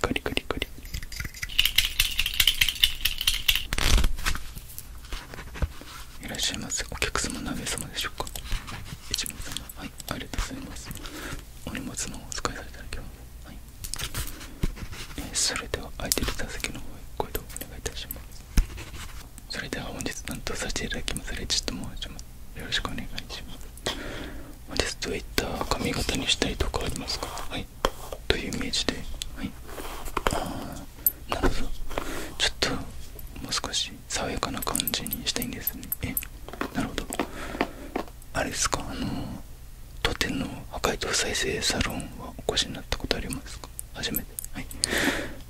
カリカリカリいらっしゃいませお客様何名様でしょうか一名様はいありがとうございますお荷物のお使いされただけははい、えー、それでは空いてる座席の方へご移動お願いいたしますそれでは本日担当させていただきますちょっと申しますよろしくお願いします本日どういった髪型にしたりとかありますかはいというイメージではいああなるほどちょっともう少し爽やかな感じにしたいんですねえなるほどあれですかあの当店の破壊と再生サロンはお越しになったことありますか初めて、はい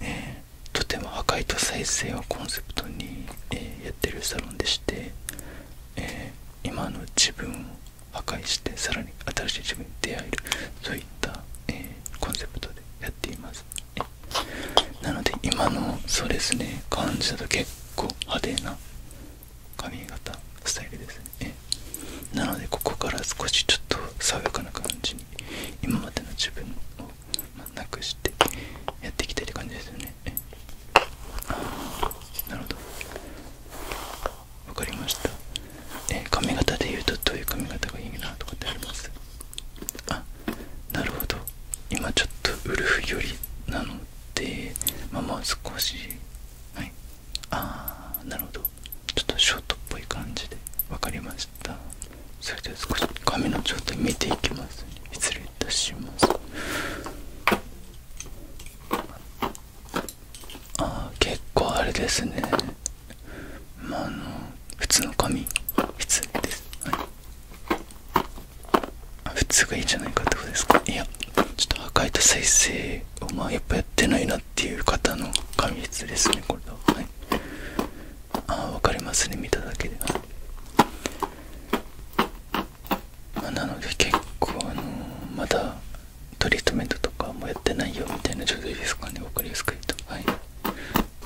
えとても破壊と再生をコンセプトに、えやってるサロンでして、え今の自分を破壊してさらに新しい自分に出会えるそういった、えコンセプトでやっています、なので今のそうですね感じだと結構派手な髪型スタイルですね、なのでここから少しちょっと爽やかな感じ今までの自分をなくしてやっていきたいって感じですよねなるほどわかりましたえ髪型で言うとどういう髪型がいいなとかってありますあなるほど今ちょっとウルフ寄りなのでまあもう少しはいああなるほどちょっとショートっぽい感じで分かりましたそれでは少し髪の状態見ていきます、失礼いたしますあ結構あれですねまああの普通の髪失礼です、はい、普通がいいじゃないかってことですかいやちょっと赤いと再生をまあやっぱやってないなっていう方の髪質ですねこれだああ分かりますね見ただけでまなので結構あのまだトリートメントとかもやってないよみたいな状態ですかね分かりやすく言うとはい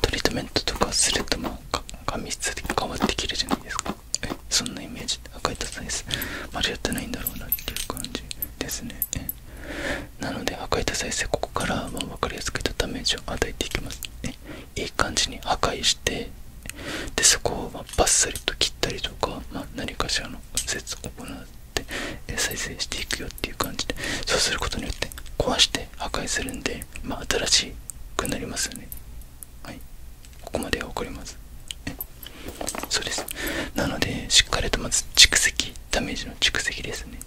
トリートメントとかするとまあ髪質で変わってきるじゃないですかえそんなイメージ赤いたさですまだやってないんだろうなっていう感じですねなので破壊した再生ここからは分かりやすくたダメージを与えていきますね。いい感じに破壊してでそこをまあバッサリと切ったりとか、ま何かしらの骨折を行って再生していくよっていう感じでそうすることによって壊して破壊するんで、ま新しくなりますよねはいここまでは分かりますそうですなのでしっかりとまず蓄積ダメージの蓄積ですね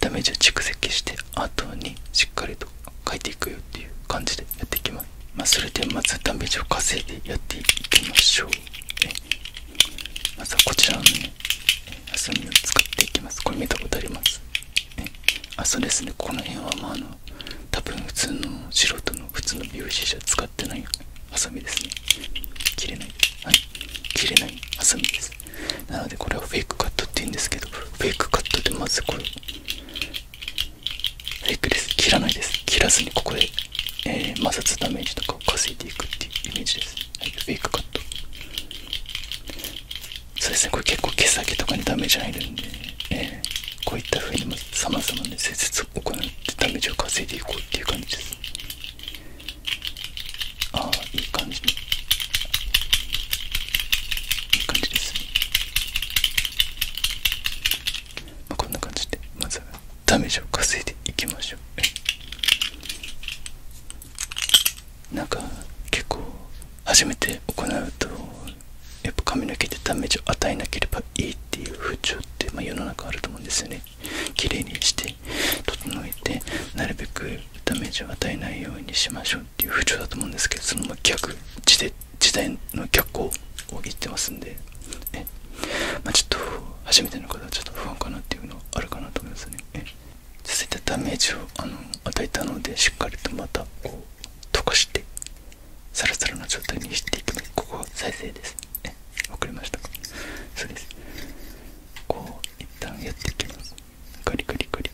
ダメージを蓄積して後にしっかりと書いていくよっていう感じでやっていきます、まそれでまずダメージを稼いでやっていきましょうまずはこちらのね遊びを使っていきますこれ見たことありますあそうですねこの辺はまああの多分普通の素人の普通の美容師じゃ使ってないよね。細身ですね切れないはい切れない細身ですなのでこれはフェイクカットって言うんですけどフェイクカットでまずこれフェイクです切らないです切らずにここで、え摩擦ダメージとかを稼いでいくっていうイメージです、はい、フェイクカットそうですねこれ結構毛先とかにダメージ入るんで、えこういった風にまず様々な施設を行ってダメージを稼いでいこうっていう感じですああいい感じにいい感じです、ねまこんな感じでまずはダメージを稼いでいきましょうなんか結構初めて行うとやっぱ髪の毛でダメージを与えなければいいっていう風潮って、まあ、世の中あると思うんですよねてきれいにして整えてなるべくダメージを与えないようにしましょうっていう風潮だと思うんですけどその逆時代の逆行を言ってますんでえ、まちょっと初めての方はちょっと不安かなっていうのはあるかなと思いますねえ続いてダメージをあの与えたのでしっかりとまたこう溶かしてサラサラな状態にしていく。ますここは再生ですえ分かりましたかそうですこう一旦やっていきますカリカリカリ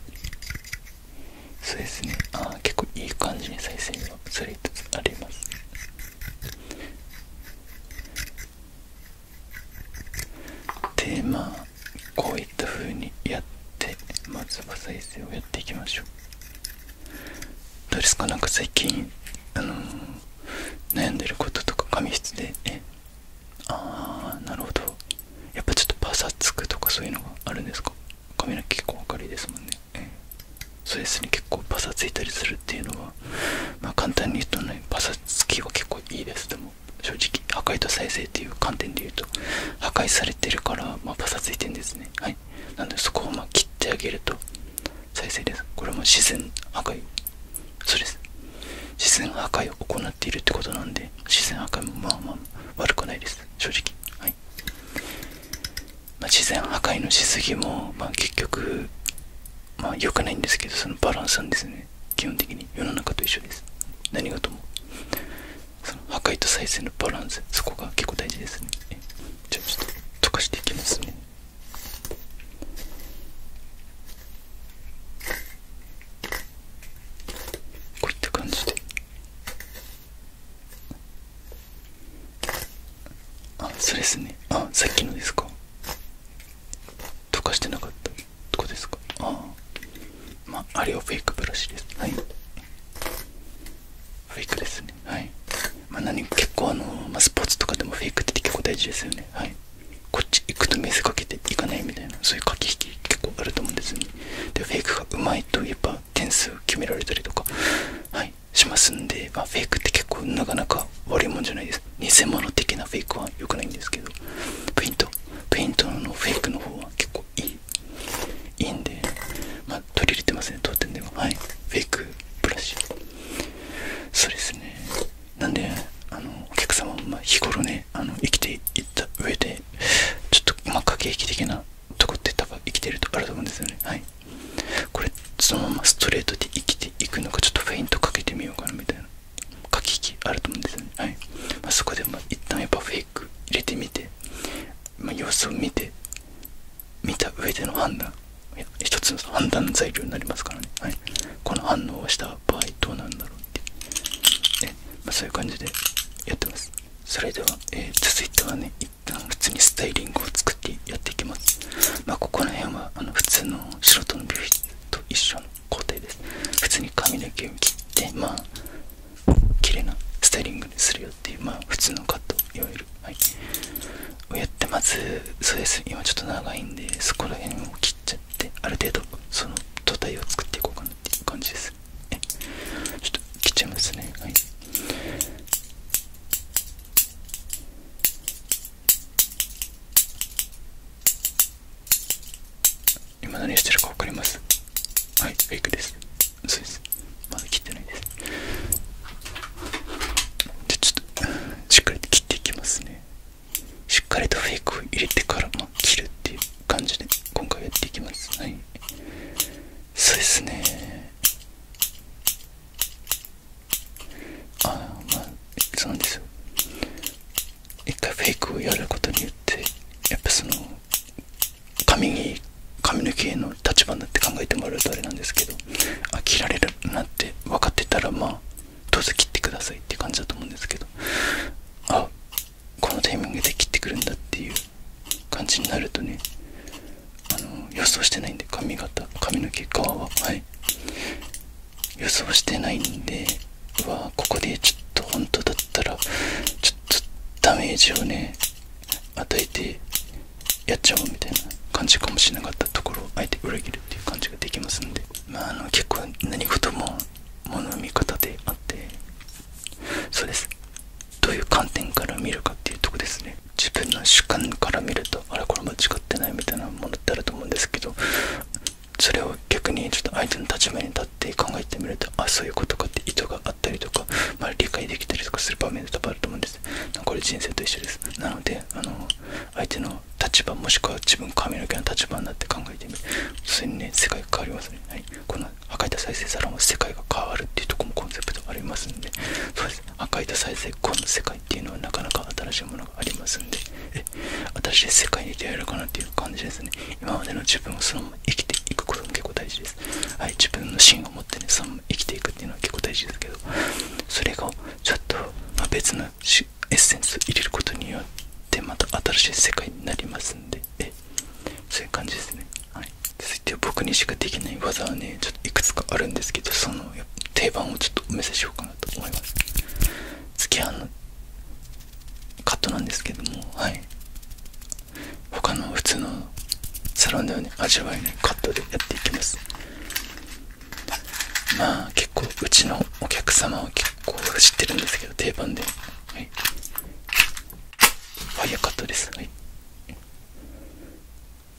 そうですねああ結構いい感じに再生がされつつありますでまあこういったふうにやってまずは再生をやっていきましょうどうですかなんか最近あの悩んでることとか紙質で、ね、ああなるほどやっぱちょっとパサつくとかそういうのがあるんですか髪の毛結構明るいですもんね、ええ、そうですね結構パサついたりするっていうのはまあ簡単に言うとねパサつきは結構いいですでも正直破壊と再生っていう観点で言うと破壊されてるからまあパサついてんですねはいなのでそこをまあ切ってあげると再生ですこれも自然破壊そうです自然破壊を行っているってことなんで自然破壊もまあまあ悪くないです正直はい、ま自然破壊のしすぎも、まあ、結局まあ良くないんですけどそのバランスなんですね基本的に世の中と一緒です何事も破壊と再生のバランスそこが結構大事ですねじゃあちょっと溶かしていきますねこういった感じであそれですねあさっきのですか溶かしてなかったとこですかああまああれはフェイクブラシですはいフェイクですねはいまあ何結構あの、まあ、スポーツとかでもフェイクって結構大事ですよねはいこっち行くと水かけていかないみたいなそういう駆け引き結構あると思うんですよねでフェイクがうまいとやっぱ点数決められたりとか、はい、しますんで、まフェイクって結構なかなか悪いもんじゃないです偽物的なフェイクは良くないんですけどペイントペイントのフェイクの方は結構いいいいんで、まあ、取り入れてますね当店でははいフェイクブラシそうですねなんであのお客様も日頃ねあの生きていった上でちょっと今駆け引き的なとこって多分生きてるとあると思うんですよねはいこれそのままストレートで生きていくのかちょっとフェイントかけてみようかなみたいな駆け引きあると思うんですよねはい、まそこでまあ一旦やっぱフェイク入れてみて、ま様子を見て見た上での判断一つの判断材料になりますからね、はい、この反応をした場合どうなんだろうってね、まあ、そういう感じでやってますそれでは、えー、続いてはね一旦普通にスタイリングを作ってやっていきますまあここら辺はあ普通の素人の美容室と一緒の工程です普通に髪の毛を切ってまあ綺麗なスタイリングにするよっていうまあ普通のカットいわゆるはいをやってまずそうです今ちょっと長いんでそこら辺を切っちゃっある程度その土台を作っていこうかなっていう感じですちょっと切っちゃいますねはい今何してるか分かりますはいフェイクですそうですまだ切ってないですじゃちょっとしっかり切っていきますねしっかりとフェイクを入れてからも切るっていう感じで今回やっていきますはいそうですねあまあそうなんですよ一回フェイクをやることによってやっぱその髪に髪の毛の立場になって考えてもらうとあれなんですけどあ切られるなって分かってたらまあどうぞ切ってくださいって感じだと思うんですけどあこのタイミングで切ってくるんだっていう感じになるとねあの予想してないんで髪型髪の毛皮ははい予想してないんでうわここでちょっと本当だったらちょっとダメージをね与えてやっちゃおうみたいな感じかもしれなかったところをあえて裏切るっていう感じができますんでまあ、の結構何事も物の見方であってそうですどういう観点から見るかっていうとこですね自分の主観から見るとあれこれ間違ってないみたいなものってあると思うんですけどそれを逆にちょっと相手の立場に立って考えてみるとあそういうことかって意図があったりとか、まあ、理解できたりとかする場面で多分あると思うんですこれ人生と一緒ですなのであの相手の立場もしくは自分髪の毛の立場になって考えてみるそれにね世界変わりますね、はい、この赤いと再生サロン世界が変わるっていうとこもコンセプトありますんでそうです破壊と再生この世界っていうのはなかなか新しいものがありますんでえ新しい世界に出会えるかなっていう感じですね今までの自分をそのまま生きていくことも結構大事です、はい、自分の芯を持ってねそのまま生きていくっていうのは結構大事ですけどそれがちょっと、ま別のエッセンスを入れることによってまた新しい世界になりますんでそういう感じですね、はい、続いて僕にしかできない技はねちょっといくつかあるんですけどその定番をちょっとお見せしようかなと思います次はあのカットなんですけどもはい他の普通のサロンではね味わえないカットでやっていきますまあ結構うちのお客様は結構知ってるんですけど定番ではいワイヤーカットですはい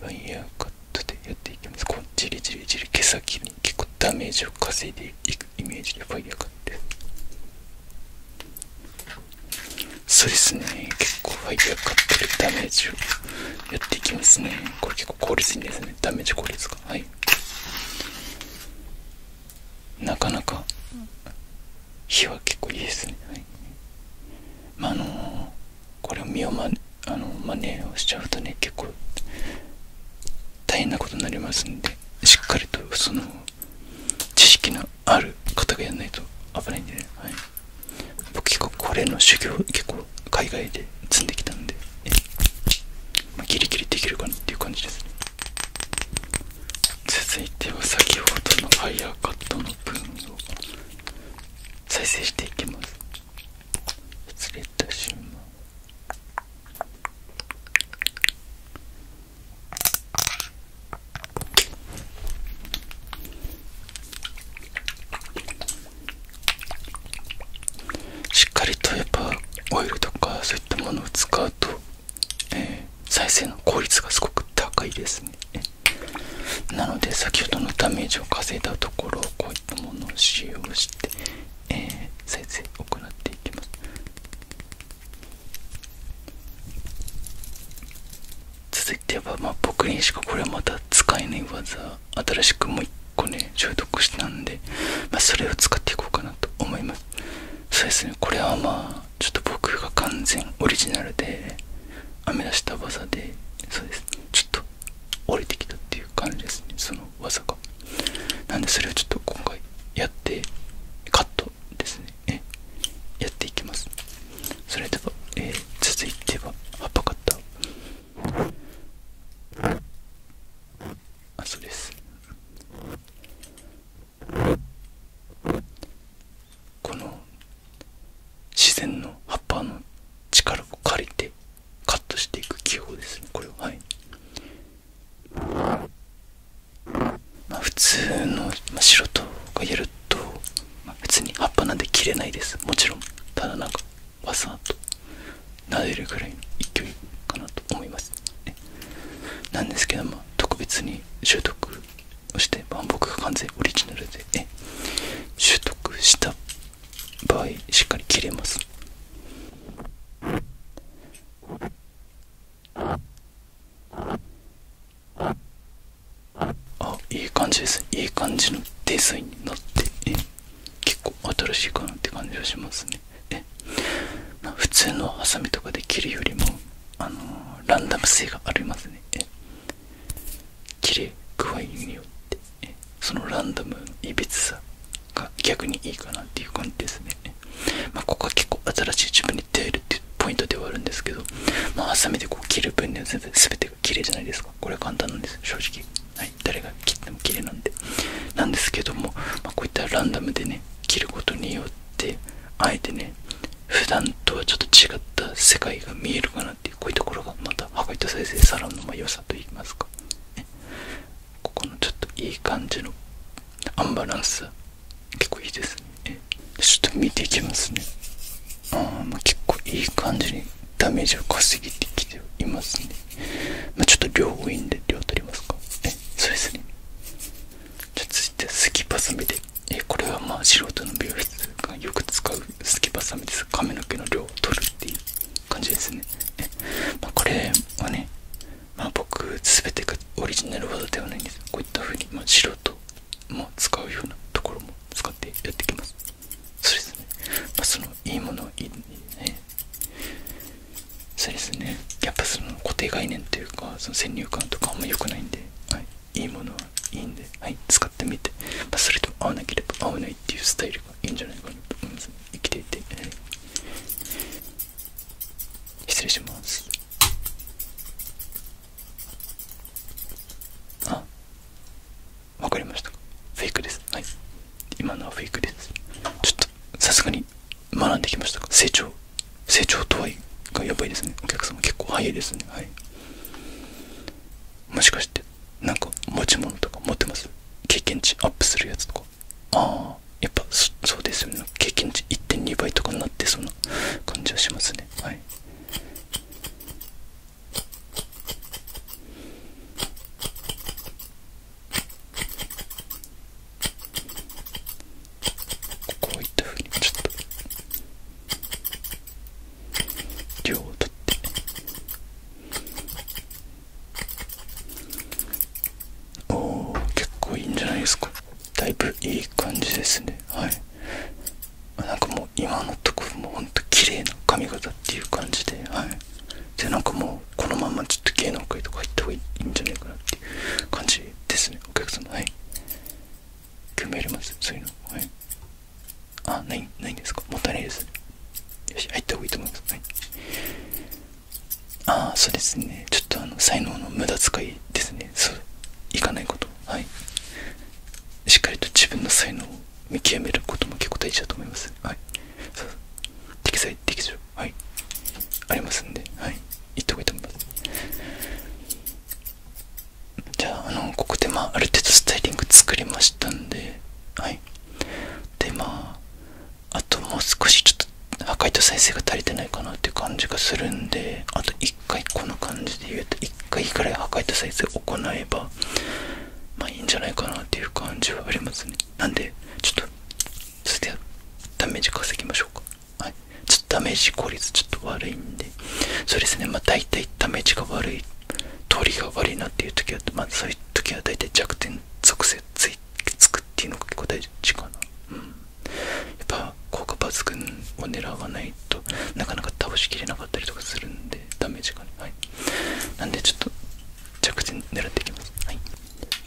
ファイヤーカットでやっていきますこうじりじりじり毛先に結構ダメージを稼いでいくイメージでファイヤーカットそうですね結構ファイヤーカットでダメージをやっていきますねこれ結構効率いいですねダメージ効率がはいなかなか火は結構いいですね、はい、まあのこれを身をまあの真似をしちゃうとね結構大変なことになりますんでしっかりとその知識のある方がやらないと危ないんでね、はい、僕結構これの修行結構海外で積んできたので、ギリギリできるかなっていう感じですね続いては先ほどのファイヤーカットの分を再生していきます失礼いたしますしっかりとやっぱオイルとかそういったものを使うと、え再生の効率がすごく高いですねなので先ほどのダメージを稼いだところをこういったものを使用して、え再生を行っていきます続いては僕にしかこれはまた使えない技新しくもう1個ね消毒したんで、まそれを使っていこうかなと思いますそうですねこれはまあちょっと僕が完全オリジナルで編み出した技でそうですちょっと降りてきたっていう感じですねその技がなんでそれをちょっと今回やってカットですねやっていきますそれでは、え続いては葉っぱカッタあそうですこの自然の葉っぱの力を借りてカットしていく記法ですねこれをはいま普通の白とかやると、まあ、普通に葉っぱなんで切れないですもちろんただなんかわさっと撫でるくらいの勢いかなと思います、なんですけども特別に習得をして万僕が完全オリジナルで、習得した場合しっかり切れますあいい感じですいい感じのデザインになって、結構新しいかなって感じはしますねま普通のハサミとかで切るよりもあのランダム性がありますね切れ具合によってそのランダムのいびつさが逆にいいかなっていう感じですね、まここは結構新しい自分に出会えるっていうポイントではあるんですけどまあハサでこう切る分には全部全てが綺麗じゃないですかこれは簡単なんです正直はいな誰が切っても切れなんでなんですけども、まこういったランダムでね切ることによってあえてね普段とはちょっと違った世界が見えるかなっていうこういうところがまたハカイト再生サロンのま良さといいますか、ここのちょっといい感じのアンバランス結構いいですねちょっと見ていきますねああまあ結構いい感じにダメージを稼げてきていますね。まちょっと両ウィンで量取りますか。え、そうですね。じゃ続いて、スキバサミで。え、これはまあ素人の美容室がよく使うスキバサミです。髪の毛の量を取るっていう感じですね。まこれはね、ま僕、全てがオリジナル技ではないんです。こういった風にま素人も使うようなところも使ってやっていきます。そうですねまあそのいいものいいねそうですねやっぱその固定概念というかその先入観とかあんまり良くないんで、はい、いいものはいいんで、はい、使ってみて、まあ、それと合わなければ合わないっていうスタイルがいいんじゃないかなと思います、ね、生きていて、失礼しますあわかりましたフェイクですはい今のはフェイクですちょっとさすがに学んできましたか成長成長とはいがやばいですねお客様結構早いですねはいもしかしてなんか持ち物とか持ってます経験値アップするやつとかああやっぱそうですよね経験値1.2倍とかになってそうな感じはしますねはいこういったふうにちょっと量を取っておお結構いいんじゃないですかだいぶいい感じですねはいなんかもう今のところもほんと綺麗な髪型っていう感じではいでなんかもう。このままちょっと芸能界とか入った方がいいんじゃないかなっていう感じですねお客様はい興味ありますそういうのはいあないないんですかもったいないですよし入った方がいいと思いますはいああそうですねちょっとあの才能の無駄遣いですねそういかないことはいしっかりと自分の才能を見極めることも結構大事だと思いますはいはいありますんではい言っと方がと思いますじゃああのここでまあある程度スタイリング作りましたんではいでまああともう少しちょっと破壊と再生が足りてないかなっていう感じがするんであと1回この感じで言うと1回ぐらい破壊と再生を行えばまあいいんじゃないかなっていう感じはありますねなんでちょっと続いてダメージ稼ぎましょうかはいちょっとダメージ効率ちょっと悪いんでそうですねまあ大体ダメージが悪い通りが悪いなっていう時はまあそういう時は大体弱点属性ついつくっていうのが結構大事かなうんやっぱ効果抜群を狙わないとなかなか倒しきれなかったりとかするんでダメージがねなんでちょっと着地狙っていきますはい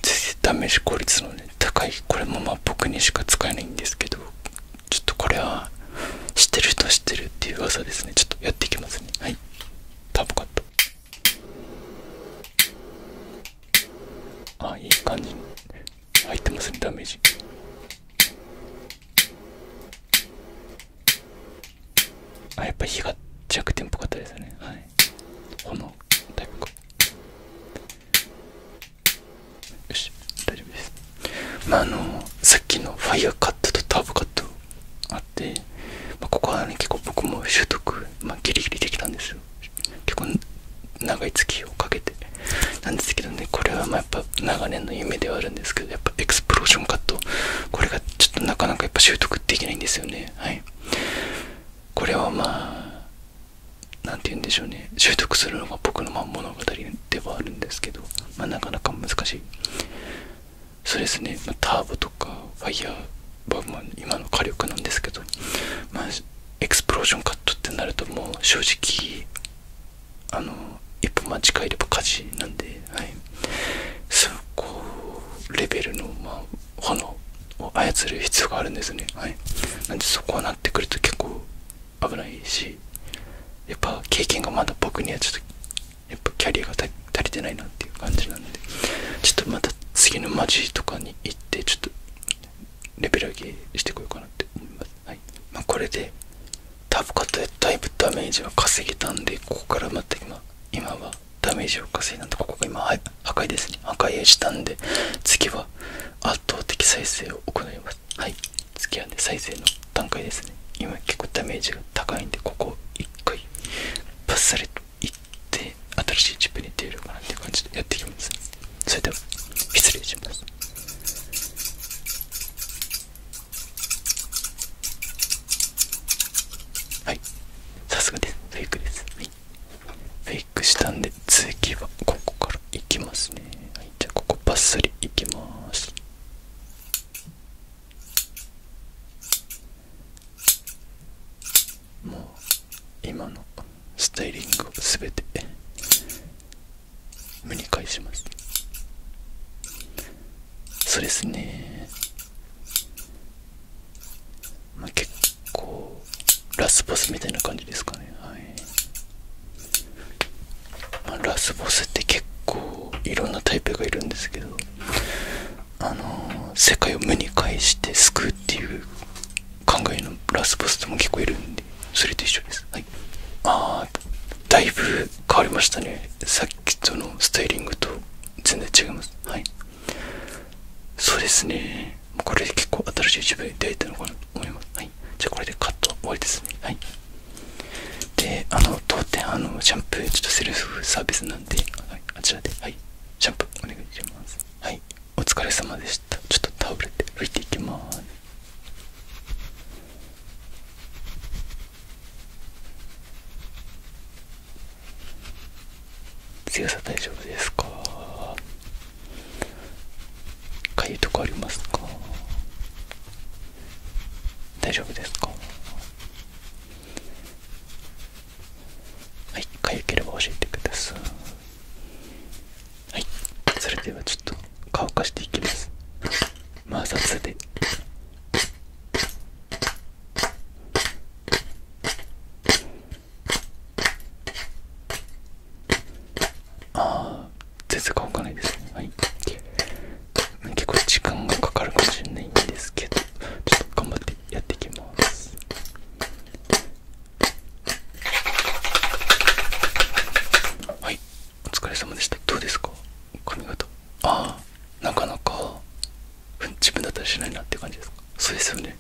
全然試し効率のね高いこれもまあ僕にしか使えないんですけどちょっとこれは知ってる人知ってるっていう噂ですねちょっとやっていきますねはいターボカットあいい感じに入ってますねダメージあやっぱ火が弱点っぽかったですねはい炎タイプかよし大丈夫ですまあのさっきのファイヤーカットとターボカットあって、まここはね結構僕も習得、まあ、ギリギリできたんですよ結構長い月をかけてなんですけどねこれはまやっぱ長年の夢ではあるんですけどやっぱエクスプローションカットこれがちょっとなかなかやっぱ習得できないんですよねはいこれをまあ何て言うんでしょうね習得するのが僕のま物語ではあるんですけど、まなかなか難しいそうですね、まターボとかファイヤーはまあ今の火力なんですけど、まあ、エクスプロージョンカットってなるともう正直あの一歩間違えれば火事なんではい、そこレベルの、ま炎を操る必要があるんですね、はい、なんでそこはなってくると結構危ないしやっぱ経験がまだ僕にはちょっとやっぱキャリアが足りてないなっていう感じなんでちょっとまた次のマジとかに行ってちょっとレベル上げしてこようかなって思います、はいまこれで多分。カッでだいぶダメージは稼げたんでここからまた今今はダメージを稼いなとでここが今赤いですね赤いしたんで次は圧倒的再生を行いますはい次はね再生の段階ですね今結構ダメージが高いんでここを1回パッサリといって新しいチップに出るかなって感じでやっていきますそれでは失礼しますはいさすがですフェイクです、はい、フェイクしたんで次はここからいきますね、はい、じゃあここバッサリいきますもう今のスタイリングを全て無に返しますそうですねま結構ラスボスみたいな感じですかねはい、まラスボスって結構いろんなタイプがいるんですけどあの世界を無に返して救うっていう考えのラスボスとも結構いるんでそれと一緒ですはいああだいぶ変わりましたねさっきとのスタイリングと全然違いますはいそうですねこれで結構新しい自分に出会えたのかなと思いますはいじゃあこれでカット終わりですねはいであの当店あのシャンプーちょっとセルフサービスなんで、はい、あちらではいシャンプーお願いしますはいお疲れ様でしたちょっとタブレット拭いていきます強さ大丈夫ですかかゆいとこありますか大丈夫ですかはいかゆければ教えてくださいはいそれではちょっと乾かしていきます摩擦でああ全然動かないですねはい結構時間がかかるかもしれないんですけどちょっと頑張ってやっていきますはいお疲れ様でしたどうですか髪型ああなかなか自分だったらしないなって感じですかそうですよね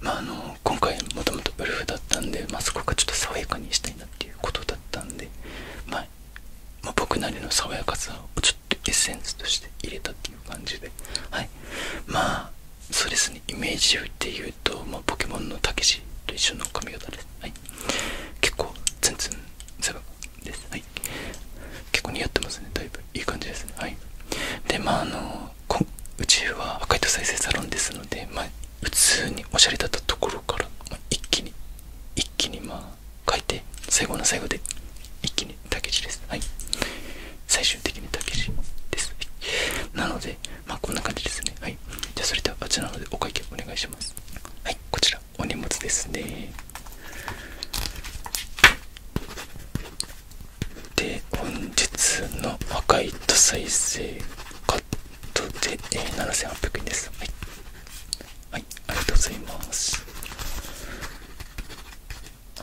まああの今回もともとブルフだったんで、まあ、そこがちょっと爽やかにしたいなっていうことだったんで、まま僕なりの爽やかさをちょっとエッセンスとして入れたっていう感じではいまあそうですねイメージを言って言うと、まポケモンのたけしと一緒の髪型ですはい結構ツンはい結構似合ってますねだいぶいい感じですねはいでまああのうちは赤いと再生サロンですのでまあ普通におしゃれだったところから、ま一気に一気にまあ書いて最後の最後で一気に竹地ですはい最終的に竹地です、はい、なのでまあこんな感じですねはいじゃあそれではあちらのでお会計お願いしますはいこちらお荷物ですねで本日の赤いと再生カットで7800円ですはい、はい、ありがとうございます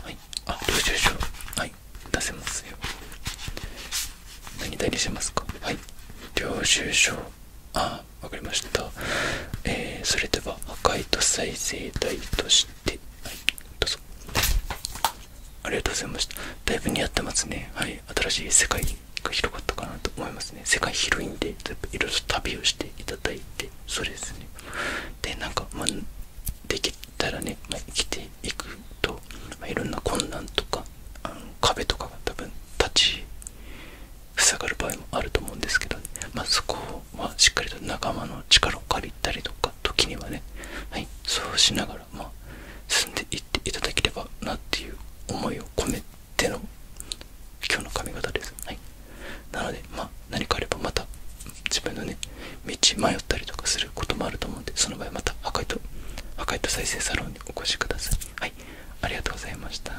はいあ領収書はい出せますよ何代理しますかはい領収書あわかりました、えそれでは赤いと再生体としてありがとうございましただいぶ似合ってますねはい新しい世界が広がったかなと思いますね世界広いんでいろいろ旅をしていただいてそれですねでなんか、まできたらね、ま生きていくと、まいろんな困難とかあの壁とかが多分立ち塞がる場合もあると思うんですけど、まあ、そこはしっかりと仲間の力を借りたりとか時にはね、はい、そうしながら、ま進んでいっていただければなっていう思いを込めての今日の髪型です。はい、なので、ま何かあればまた自分のね道迷ったりとかすることもあると思うんでその場合また赤いと赤いと再生サロンにお越しください。はいありがとうございました。